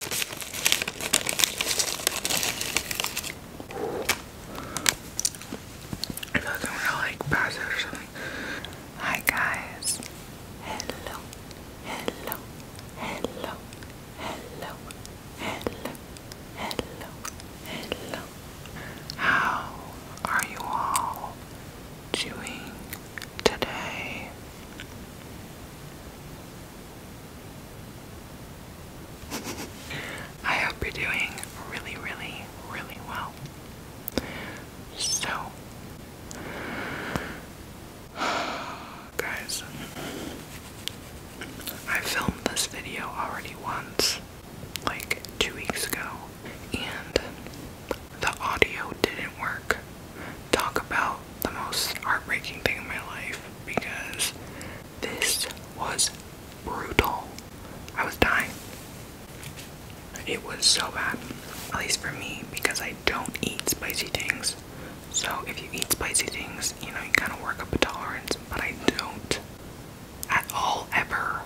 I feel like I'm to like pass or something. Hi guys. Hello. Hello. Hello. Hello. Hello. Hello. Hello. How are you all doing today? I hope you're doing really, really, really well. So, guys, I filmed this video already once, like two weeks ago, and the audio didn't work talk about the most heartbreaking thing in my life because this was brutal. I was dying. It was so bad, at least for me, because I don't eat spicy things. So if you eat spicy things, you know, you kind of work up a tolerance, but I don't at all ever.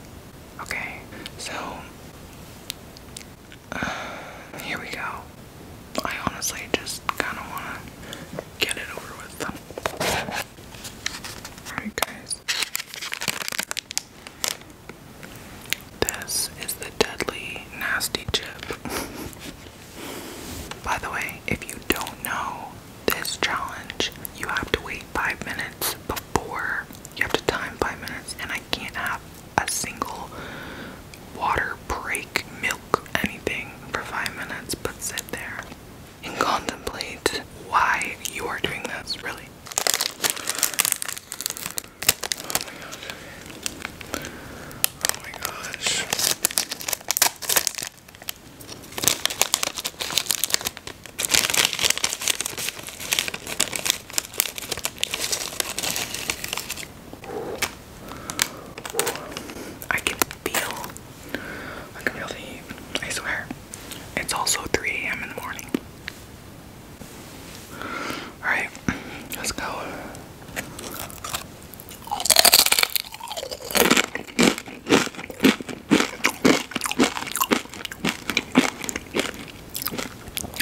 Okay, so Here we go. I honestly just kind of want to get it over with. Alright, guys. This is the Deadly Nasty Chip. By the way, if you don't know this challenge, you have to wait five minutes before. You have to time five minutes, and I can't have a single water break, milk, anything for five minutes, but sit there and contemplate why you are doing this, really. Oh my gosh. Oh my gosh. I can feel, I can feel the heat, I swear. It's also 3 a.m. in the morning. Alright, let's go.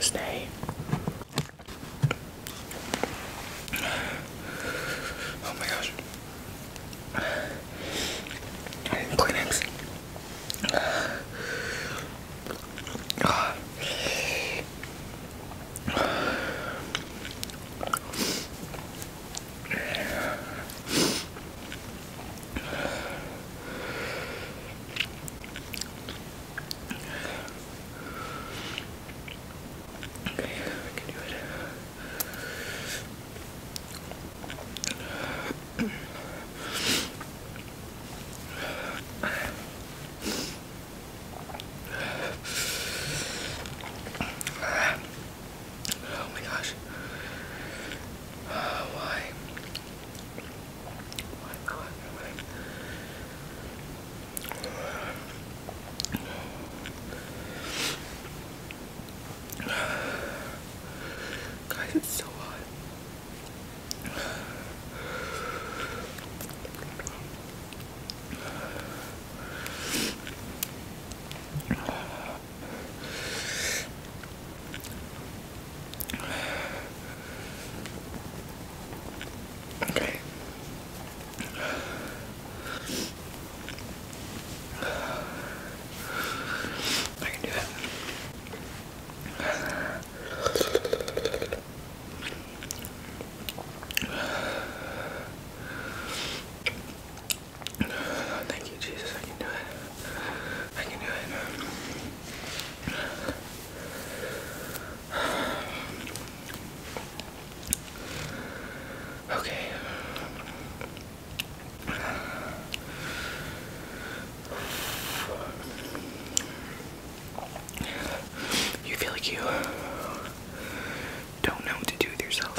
Stay. Oh my gosh. I need Kleenex. Uh, Okay, I can do it. Oh my gosh. why? my God, my Guys, it's so hot. Okay. I can do that. Thank you, Jesus. I can do it. I can do it. Okay. You feel like you don't know what to do with yourself.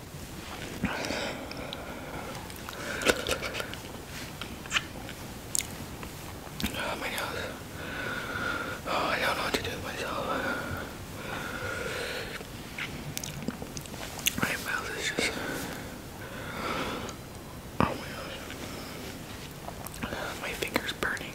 Oh my nose. Oh, I don't know what to do with myself. My mouth Oh my gosh. My finger's burning.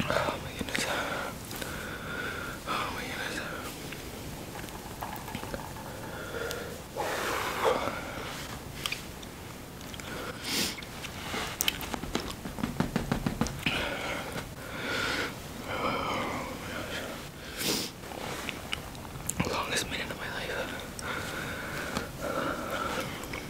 Oh my goodness. Oh my goodness. Longest minute of my life.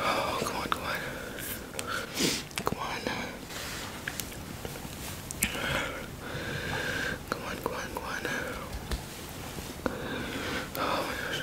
Oh, come on, come on. Come on. Uh. Come on, come on, come on. Uh. Oh my gosh.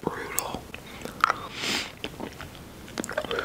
brutal. My lips are burning.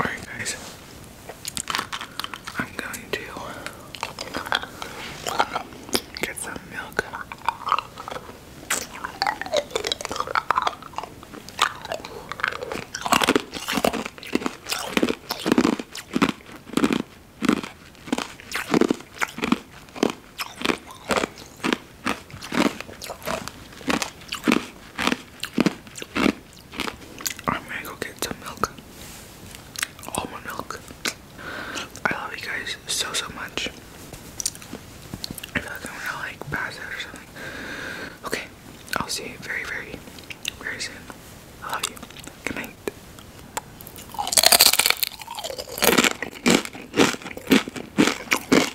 Alright, guys, I'm going to uh, get some milk. I'm gonna go get some milk. Almond milk. I love you guys so so much. I feel like I'm gonna like pass out or something. Okay, I'll see you very very very soon. I love you. Good night.